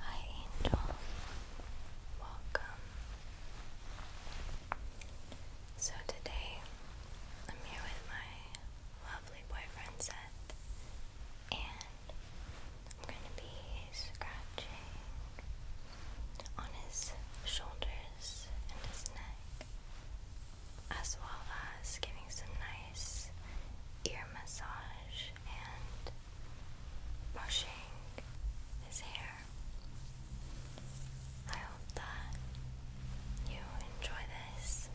Hi, Angel. Welcome. So, today I'm here with my lovely boyfriend, Seth, and I'm going to be scratching on his shoulders and his neck as well as giving some nice ear massage and brushing his hair. I hope that you enjoy this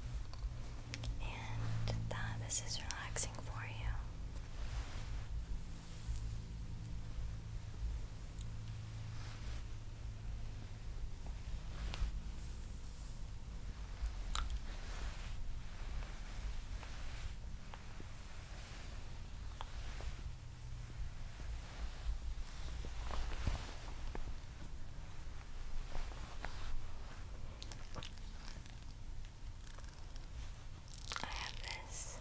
and that this is relaxing for you. I have this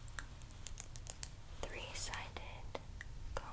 three sided comb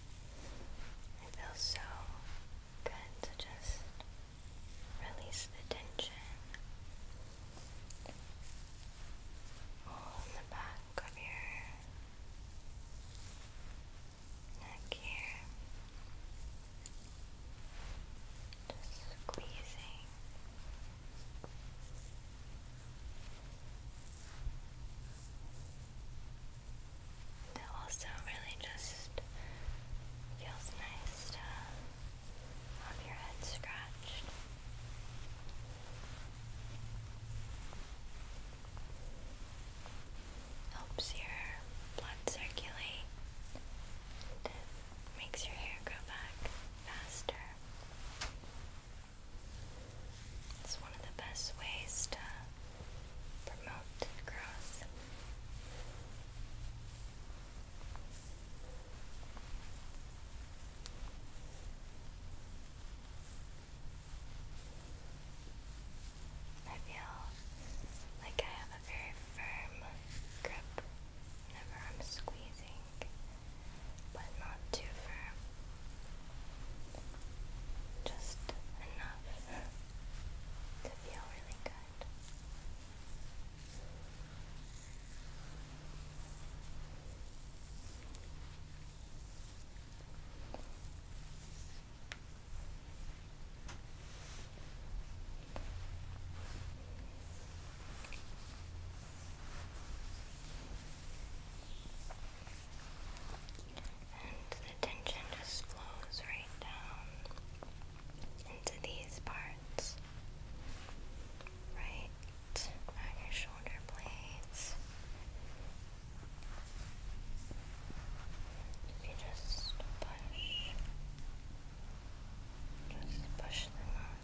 It feels so good to just release the tension all the back of your neck here. Just squeezing it also really just feels nice to have your head scratched. Helps your blood circulate. makes your hair grow back faster. It's one of the best ways to promote growth. I feel like I have a very firm grip whenever I'm squeezing but not too firm. Just enough to feel really good. And the tension just flows right down into these parts. Right on your shoulder blades. you just push, just push them out.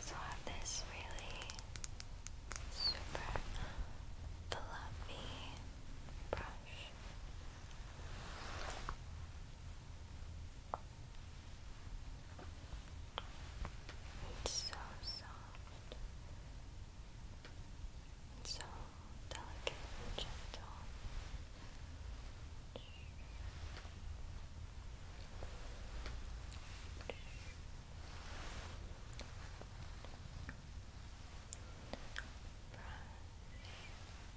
So I have this really super fluffy brush. It's so soft and so delicate and gentle. Brush.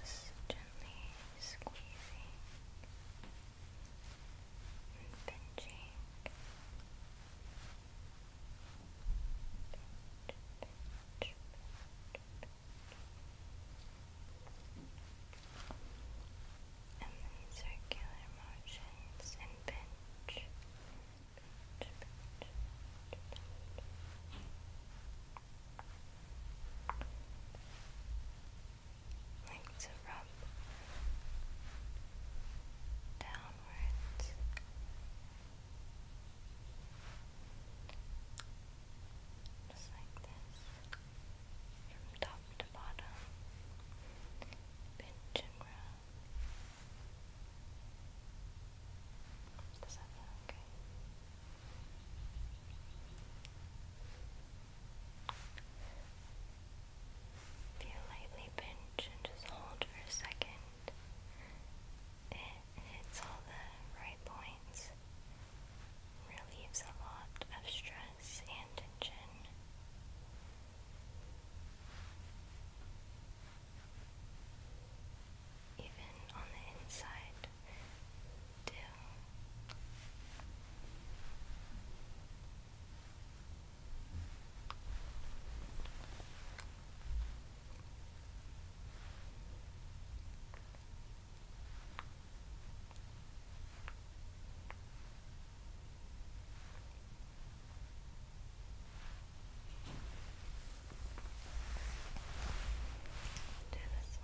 Just gently squeezing and pinching. Pinch, pinch, pinch. And then circular motions and pinch like to rub downwards just like this from top to bottom pinch and does Feel lightly pinch and just hold for a second. It hits all the right points, relieves a lot of stress and tension even on the inside too. Do this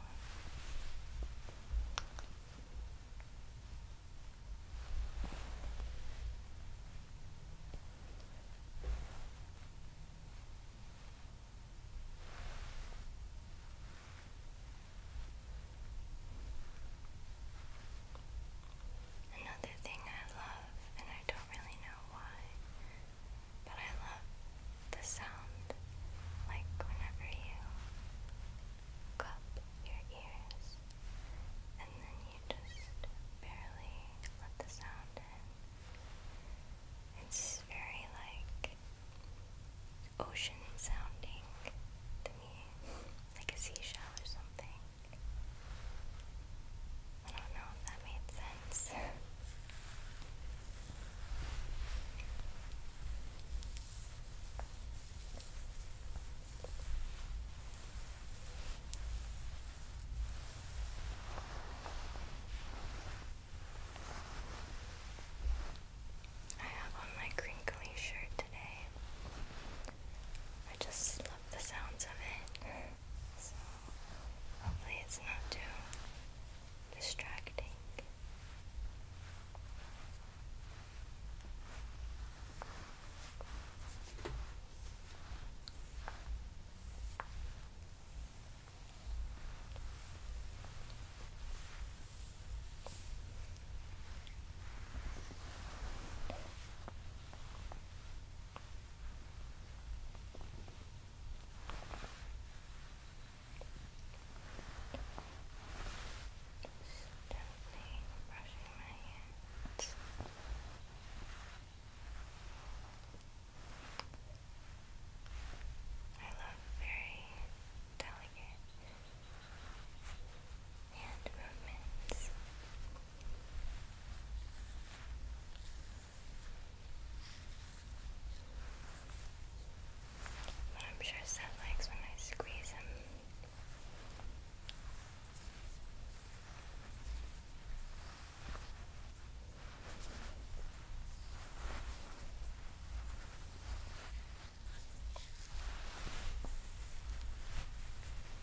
Another thing I love I don't really know why, but I love the sound. Like whenever you cup your ears and then you just barely let the sound in. It's very like ocean sounding to me, like a seashell or something. I don't know if that made sense. I have on my crinkly shirt today. I just love the sounds of it. So hopefully it's not too distracting. Gently brushing I love very delicate hand movements. I'm sure Seth likes when I squeeze him.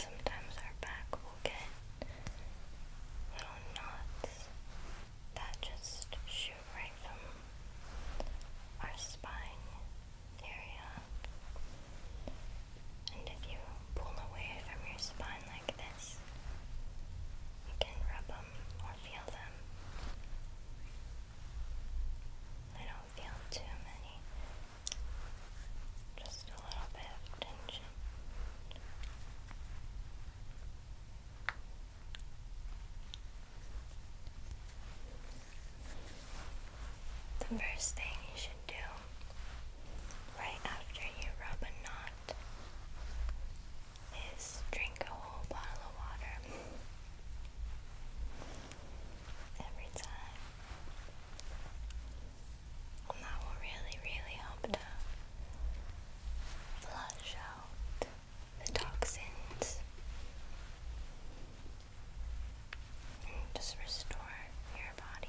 Sometimes our back will get little knots that just shoot right from our spine area. And if you pull away from your spine like this, you can rub them or feel them. I don't feel too many, just a little bit of tension. The first thing you should do right after you rub a knot is drink a whole bottle of water every time. that will really, really help to flush out the toxins and just restore your body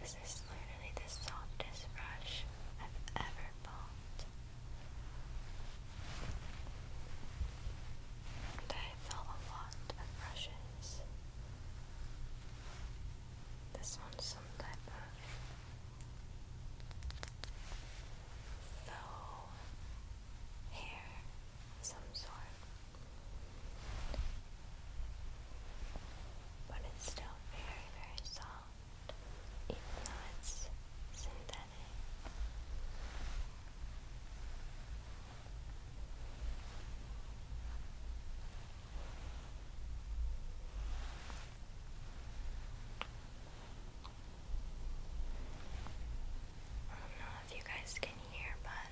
This is literally the softest brush I've ever felt. And I felt a lot of brushes. This one's some type of faux hair some sort. But it's still very, very soft, even though it's synthetic. I don't know if you guys can hear, but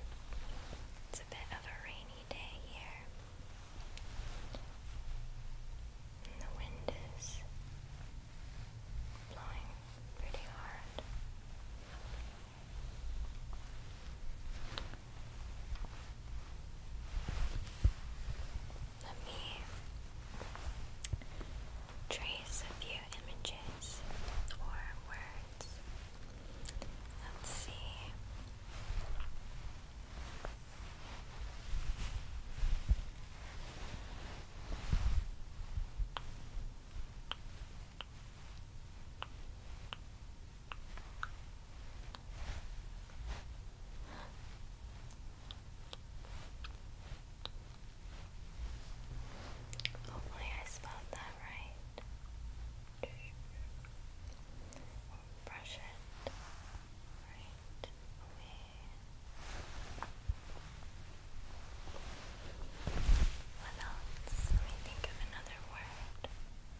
it's a bit of a rainy day here. And the wind is blowing pretty hard. Let me trace a few images or words. Let's see. Hopefully, I spelled that right. Brush it right What else? Let me think of another word.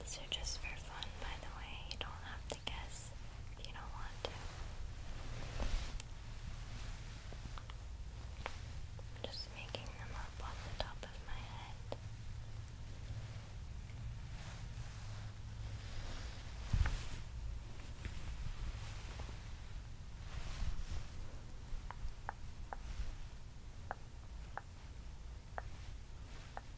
These are just for fun, by the way. You don't have to guess if you don't want to. I'm just making them up on the top of my head.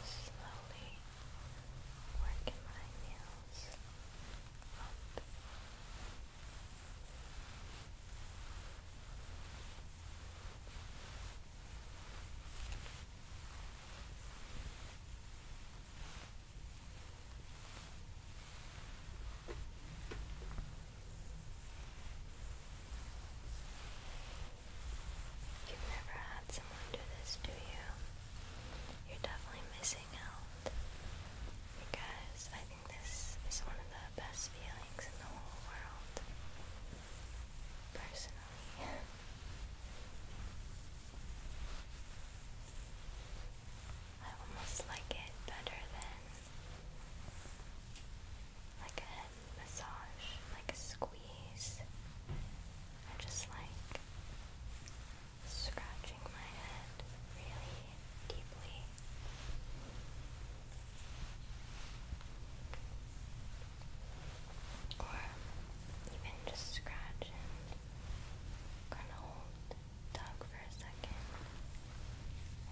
Just slowly working my nails up You've never had someone do this, do you? You're definitely missing out. Because I this is one of the best feelings in the whole world, personally. I almost like it better than like a head massage, like a squeeze. I just like scratching my head really deeply. Or even just scratch and hold tug for a second.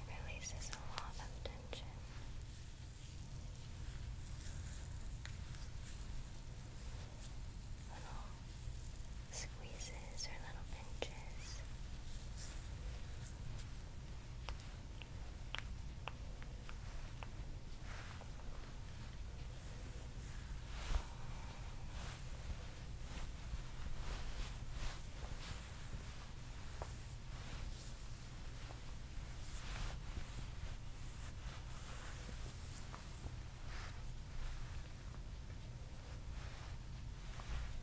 It releases a lot of tension squeezes or little pinches.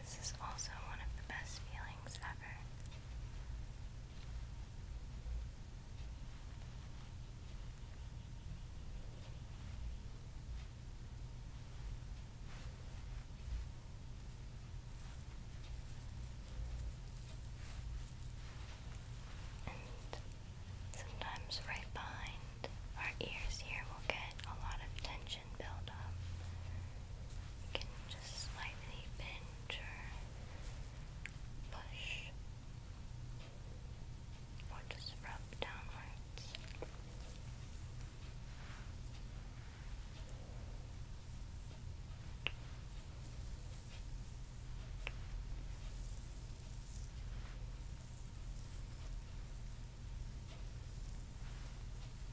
This is also one of the best feelings ever. And sometimes right behind our ears here will get a lot of tension tension You can just slightly pinch or push or just rub downwards.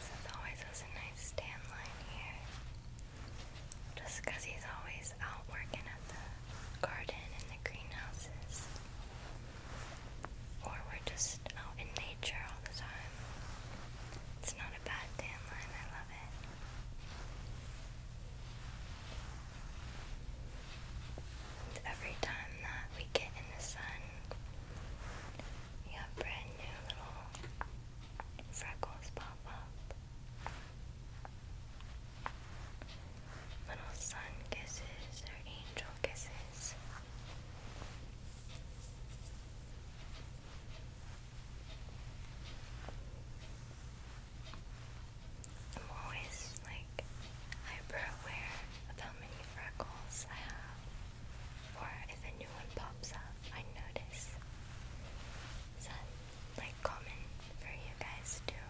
Seth always has a nice stand line here. Just he's always out working at the garden and the greenhouses. Or we're just out in nature all the time. It's not a bad tan line, I love it. every time that we get in the sun, you brand new little freckles pop up. Little sun kisses or angel kisses. I'm always like I'm aware of how many freckles I have, or if a new one pops up, I notice. Is that like common for you guys too?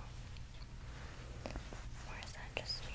Or is that just me?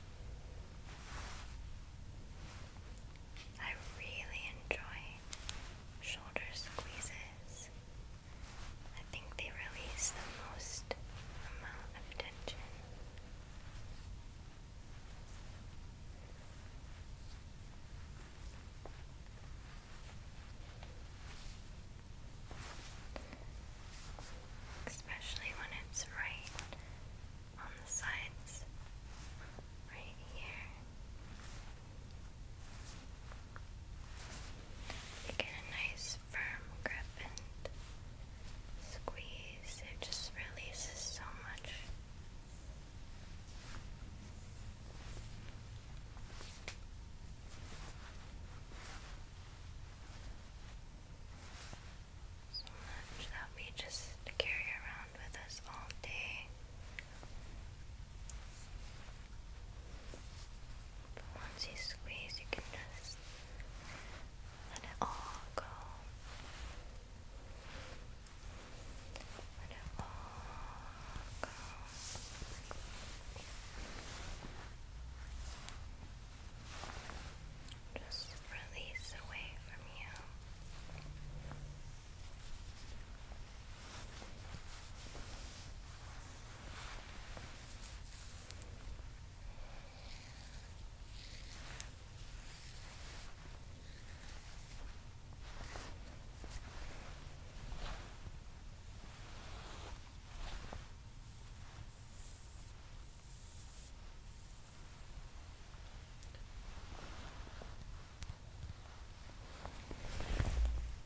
I really enjoy shoulder squeezes. I think they release the most amount of tension. Especially when it's right on the sides right here. get a nice firm grip and squeeze, it just releases so much so much that we just carry around with us all day. But once you squeeze, you can just let it all go. Let it all go just release away from you.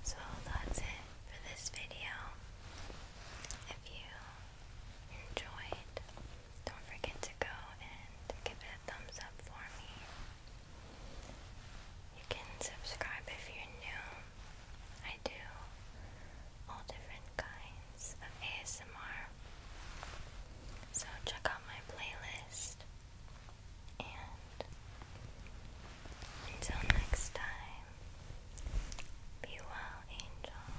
So that's it for this video. If you enjoyed, don't forget to go and give it a thumbs up for me. You can subscribe if you're new. I do all different kinds of ASMR. So check out my playlist. And until next time, be well, angel.